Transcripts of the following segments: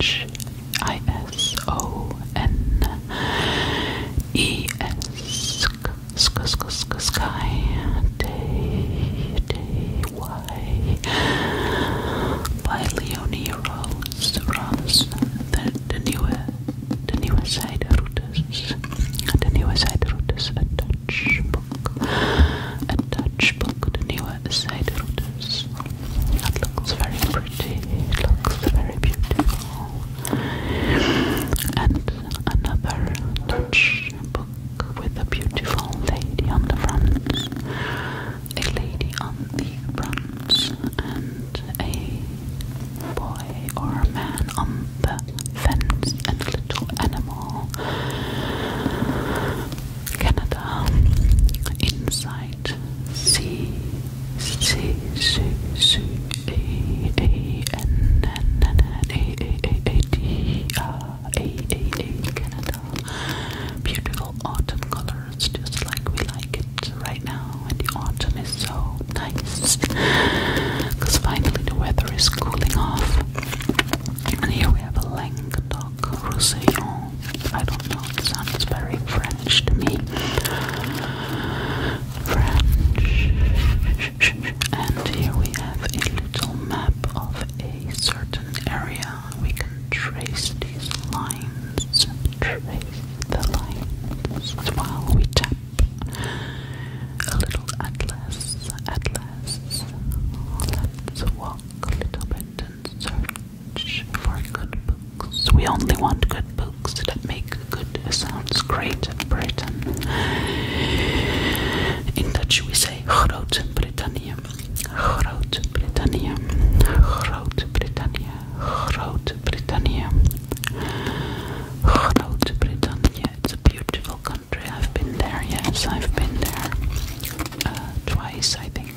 H I S O N E S Sky Day Day by Leonie Rose Rose the, the newer the newer side routers the newer side routers a Dutch a Dutch the newer side, it That looks very pretty. It looks very beautiful. And another Dutch book with a beautiful lady on the front, a lady on the front, and a boy or a man on the fence, and a little animal. Canada inside right. C C C C A A N N N A A A A D R A A A Canada. Beautiful autumn colors, just like we like it right now. And the autumn is so nice because finally the weather is cooling off. And here we have a Languedoc Roussillon I don't know, it sounds very French to me. French. And here we have a little map of a certain area. We can trace these lines, trace the lines while we tap. A little atlas, atlas. Let's walk a little bit search for good books. We only want good books that make good sounds great in Britain. In Dutch we say Groot Britannia. Groot Britannia. Groot Britannia. Groot Britannia. Groot Britannia. It's a beautiful country. I've been there, yes, I've been there. Uh, twice I think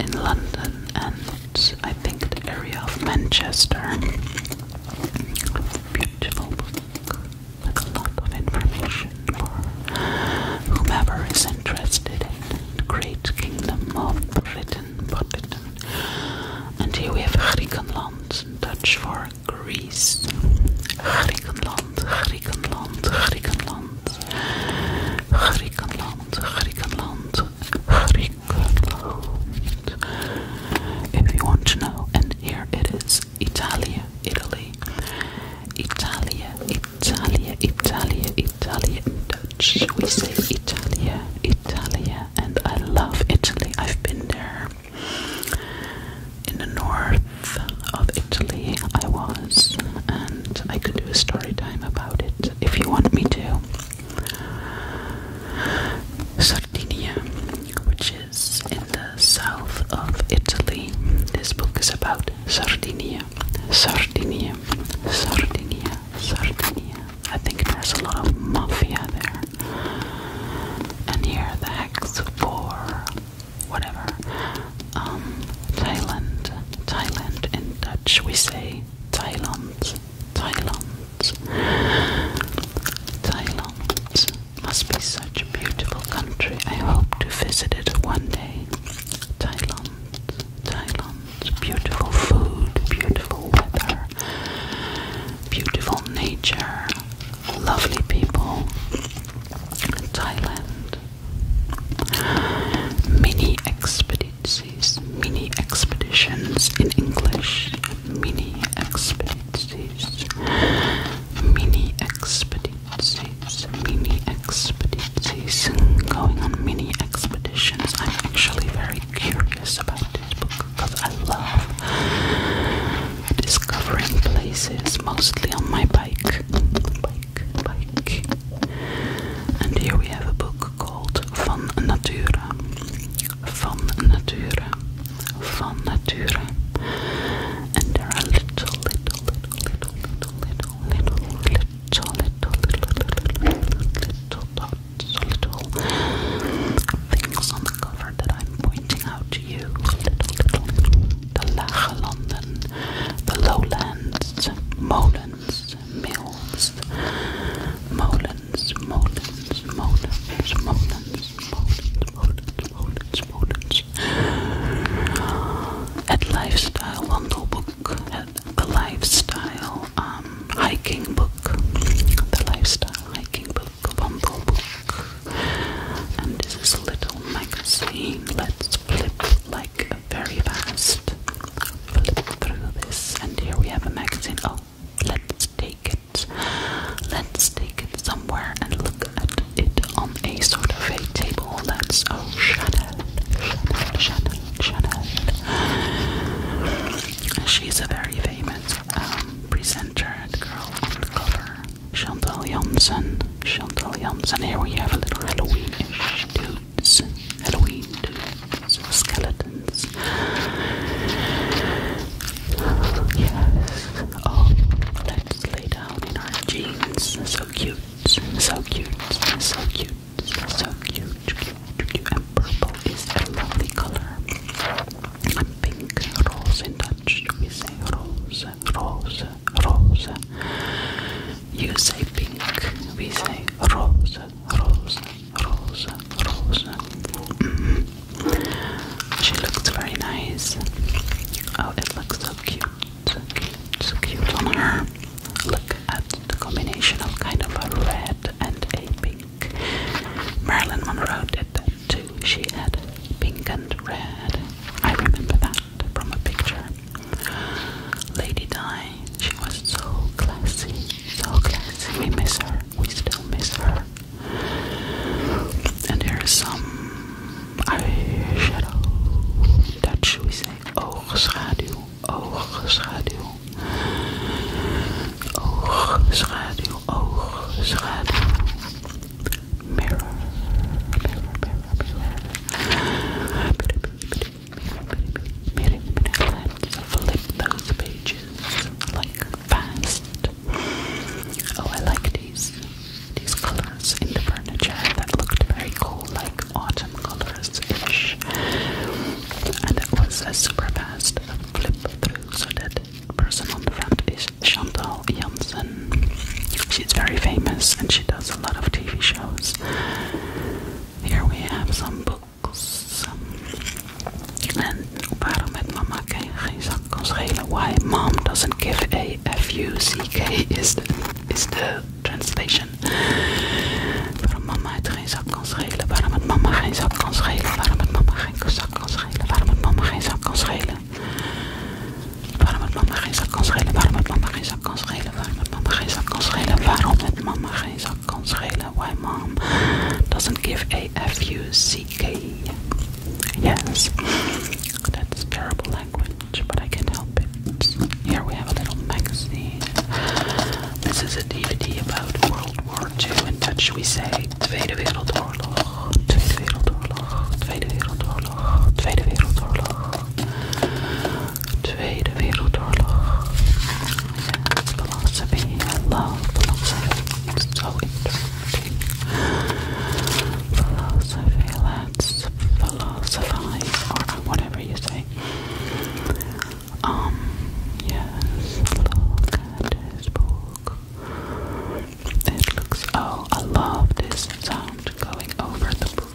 in London and I think the area of Manchester. Beautiful book with a lot of information for whomever is interested in the great kingdom of Britain. Britain. And here we have Griekenland, Dutch for Greece. Griekenland, Griekenland, Griekenland land, Griekenland, Griekenland, Griekenland. If you want to know, and here it is, Italy, Italy, Italy, Italy, Italia, In Dutch, we say Italy, Italy, and I love Italy. I've been there. In the north of Italy, I was, I could do a story time about it if you want me to. Sardinia, which is in the south of Italy. This book is about Sardinia, Sardinia, Sardinia, Sardinia. I think there's a lot of mafia there. And here the hex for whatever. Um, Thailand, Thailand in Dutch we say Thailand, Thailand, Thailand. Must be such a beautiful country. I hope to visit it one day. Thailand, Thailand. Beautiful food, beautiful weather, beautiful nature, lovely people. Thailand, Mini expediencies, mini expeditions in English, mini expeditions, mini expediencies, mini expediencies, going on mini expeditions. I'm actually very curious about this book because I love discovering places mostly on my bike bike. And here we have a book called Van Natura. Van Natura. Van Natura. And there are little, little, little, little, little, little, little, little, little, little, little dots, little things on the cover that I'm pointing out to you. Little, little, little. The Lage Landen, the Lowlands, Molens, Mills, Molens, Molens, Molens, Molens, Molens, Molens, Molens, Molens. At Lifestyle Bundle Book, at the Lifestyle um, Hiking Book, the Lifestyle Hiking Book Bundle Book. And this is a little magazine. Let's flip like very fast. through this, and here we have a magazine. Oh, let's take it. Let's take it somewhere and look at it on a sort of a table. That's oh, Chanel, Chanel, Chanel, Chanel. She's a very famous um, presenter, the girl on the cover. Chantal Janssen, Chantal Janssen. Here we have a little Halloween-ish too dudes, Halloween skeletons. Yes. Oh, let's lay down in our jeans. So cute, so cute, so cute, so cute, And purple is a lovely color. pink, rose in Dutch, we say rose, rose, rose. You say pink, we say rose, rose, rose, rose. Mm-hmm. She looks very nice. Oh, it looks so cute, so cute, on her. Look at the combination of kind of a red and a pink. Marilyn Monroe did that too. She had pink and red. I remember that from a picture. Lady Di, she was so classy, so classy. We miss her, we still miss her. And there is some eyeshadow. Dutch we say oogschaduw, oogschaduw. Oogschaduw, oogschaduw. Mirror, mirror, mirror, mirror. Miren, miren, let flip those pages like fast. Oh, I like these these colors in the furniture that looked very cool, like autumn colors-ish. And it was as super fast flip through, so that person on the front is Chantal Janssen. She's very famous and she does a lot of TV shows. Here we have some books. En waarom met mama geen zak kan schelen? Why mom doesn't give a F-U-C-K is de is the translation. Waarom mama het geen zak kan schelen? Waarom met mama geen zak kan schelen? Waarom met mama geen zak kan schelen? Waarom met mama geen zak kan schelen? Waarom met mama geen zak kan schelen? Waarom met mama geen zak kan schelen? waarom het mama geen zak kan schelen, waarom het mama geen zak kan schelen, why mom doesn't give a f u c k. Yes, that's terrible language, but I can't help it. Here we have a little magazine. This is a DVD about World War II. In Dutch we say Tweede Wereldoorlog, Tweede Wereldoorlog, Tweede Wereldoorlog, Tweede Wereldoorlog. Tweede Wereldoorlog. Philosophy and love. Philosophy. so interesting. Philosophy. Let's philosophize or whatever you say. Um, yes. Look at this book. It looks. Oh, I love this sound going over the book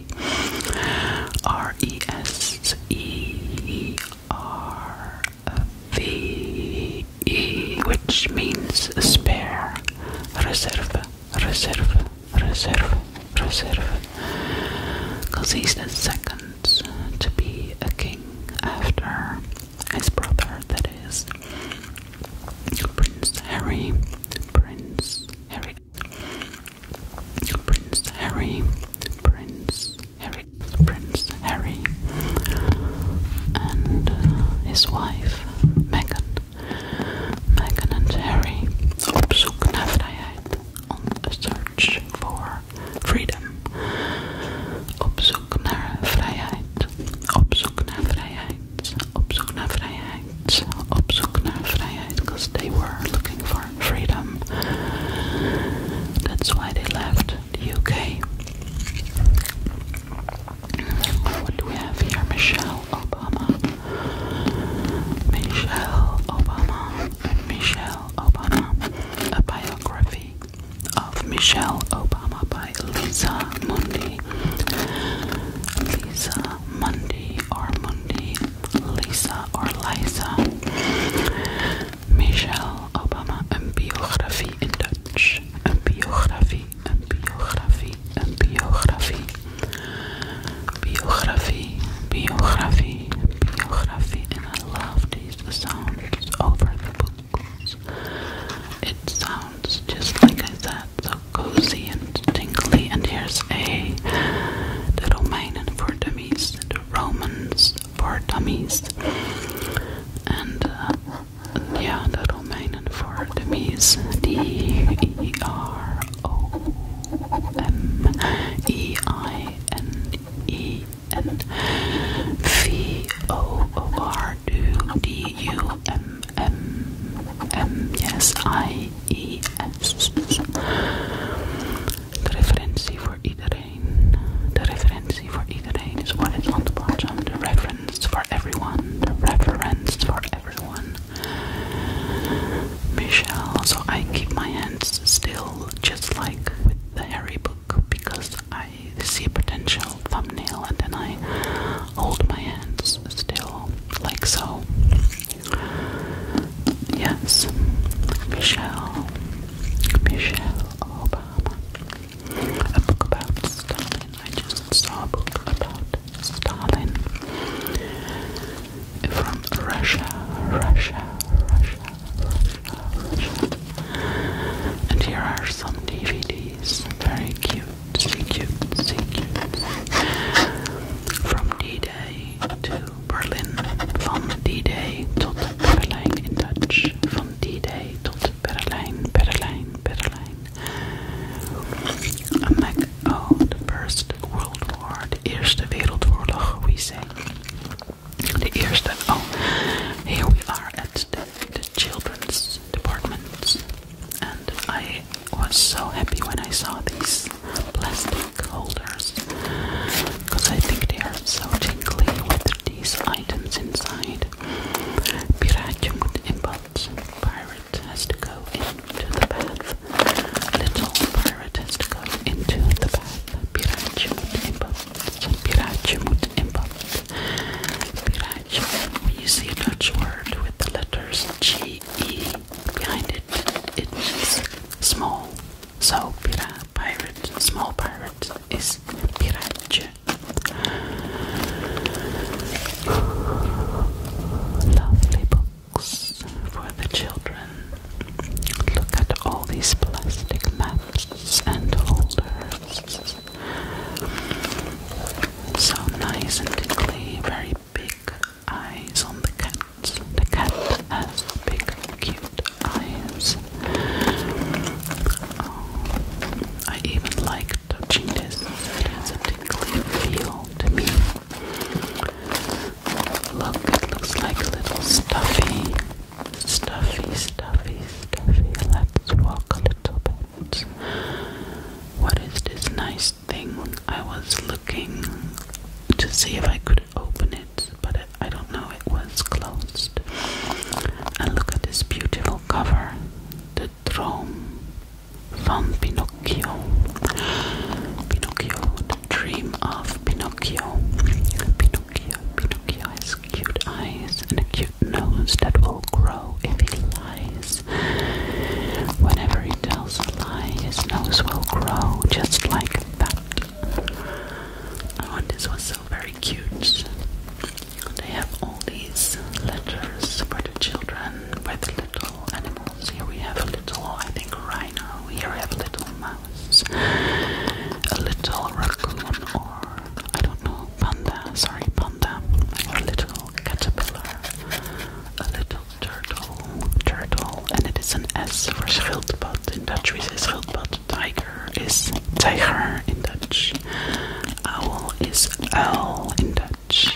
sorry. R E S E R V E, which means spare. Reserve, reserve, reserve, reserve. Because he's the second to be a king after his brother, that is. Prince Harry, Prince Harry Prince Harry, Prince Harry, Prince Harry, and uh, his wife Meghan, Meghan and Harry op zoek naar vrijheid, on a search for freedom, op zoek naar vrijheid, op zoek naar vrijheid, op zoek naar vrijheid, op zoek naar because they were looking for freedom. That's why they left the UK. What do we have here? Michelle Obama. Michelle Obama. Michelle Obama. biography of Michelle Obama by Lisa Mundy. Lisa Mundy or Mundy Lisa or Lisa Michelle Obama, een biografie in Dutch. Een biografie, een biografie, een biografie. Biografie, biografie, biografie. And I love these sounds over the books. It sounds just like I said, so cozy and tingly. And here's a little mine for dummies. Romans for Dummies, and uh, yeah, the Romanian for Dummies, D E R O M E I N E N V O O R D U M M M S I E S. De referentie voor iedereen. De referentie voor iedereen is what is on the The reference for everyone. The reference for everyone. Michelle, so I keep my hands still, just like with the Harry book, because I see a potential thumbnail and then I hold my hands still, like so. Yes, Michelle, Michelle Obama. A book about Stalin. I just saw a book about Stalin from Russia, Russia, Russia, Russia, Russia. And here are some DVDs. Very cute, see cute, see cute. From D-Day to Berlin. Van D-Day tot Berlijn in Dutch. Van D-Day tot Berlijn, Berlijn, Berlijn. I'm like, oh, the First World War. we say. De Eerste, oh, here we are at the, the children's department. And I was so happy when I saw these plastic holders because I think they are so jingly with these items inside. Piratium inbox. Pirate has to go into the bath. Little pirate has to go into the bath. Piratje moet in bad. moet in bad. you see a Dutch word with the letters G E behind it. It's small. So, pira, pirate, small pirate is piratje. Lovely books for the children. Look at all these plastic maps and holders. So nice and tickly, very big eyes on the cat the cat has big, cute eyes. Oh, I even like touching this. It has a tickly feel to me. Look, it looks like a little stuffy. Stuffy, stuffy, stuffy. Let's walk a little bit. What is this nice thing? I was looking to see if I could open it, but I don't know, it was closed. And look at this beautiful cover The Dream of Pinocchio. Pinocchio, the dream of Pinocchio. Pinocchio, Pinocchio has cute eyes and a cute nose that will grow if he lies. Whenever he tells a lie, his nose will grow just like that. Oh, this was so very cute. They have all these letters for the children with little animals. Here we have a little, I think, rhino. Here we have a little mouse, a little raccoon, or I don't know, panda. Sorry, panda. Or a little caterpillar, a little turtle, turtle, and it is an S for schildpad. In Dutch we say schildpad. Tiger is tiger in Dutch. Owl is owl in Dutch.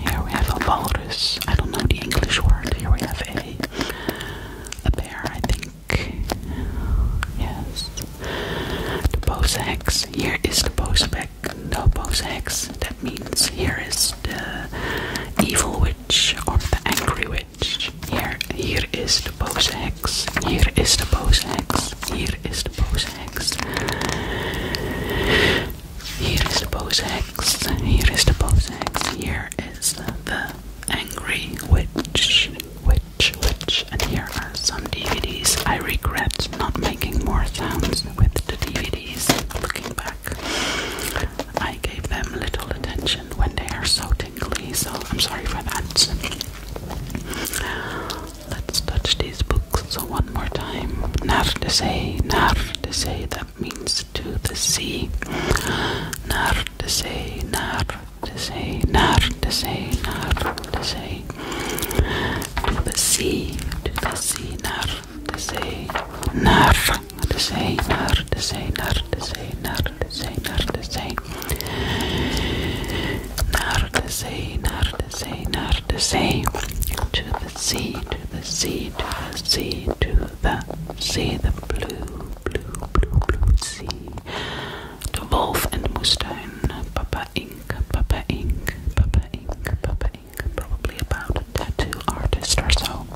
Here we have a walrus. I don't know the English word. Here we have a a bear, I think. Yes. The bosex. Here is the bosex. No bosex. That means here is the evil witch or the angry witch. Here, here is the pose hex. Here is the pose hex. Here is the pose hex. Here is the pose hex. Here is the pose hex. Here is the angry witch, witch, witch. And here are some DVDs. I regret not making more sounds with the DVDs. Looking back, I gave them little attention when they are so tingly, so I'm sorry for that. Let's touch these books so one more time. Nar de se, nar de se, that means to the sea. Nar de se, nar de se, nar de se, nar de se. To the sea, to the sea, nar de se, nar Designer, designer, designer, designer, designer, designer, designer, designer, to the sea, to the sea, to the sea, to the sea, the blue, blue, blue, blue sea, the wolf and Mustang, Papa Ink, Papa Ink, Papa Ink, Papa Ink, probably about a tattoo artist or so.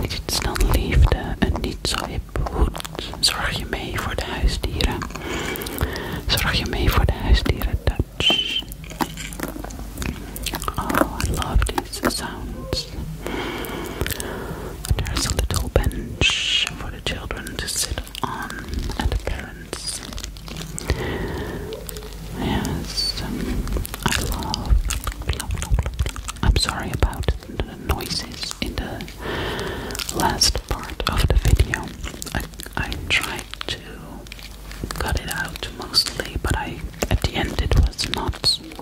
Ik het snel liefde en niet zo hip goed. Zorg je mee voor de huisdieren. Zorg je mee voor de huisdieren, Dutch. Oh, I love these sounds. There's a little bench for the children to sit on and the parents. Yes, um, I love, love, love, love. I'm sorry about the noises in the last part of the video. I, I tried to cut it out mostly, but I at the end it was not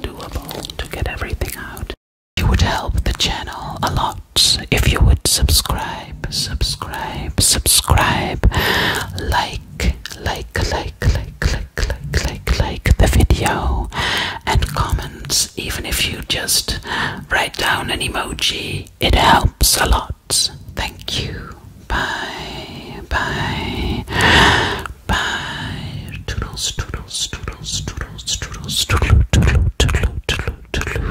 doable to get everything out. You would help the channel a lot if you would subscribe, subscribe, subscribe, like, like, like, like, like click, click, click, like the video and comments. Even if you just write down an emoji, it helps a lot. Thank you. Bye, bye, bye. Toodles, toodles, toodles, toodles, toodles, toodle, toodle, toodle, toodle,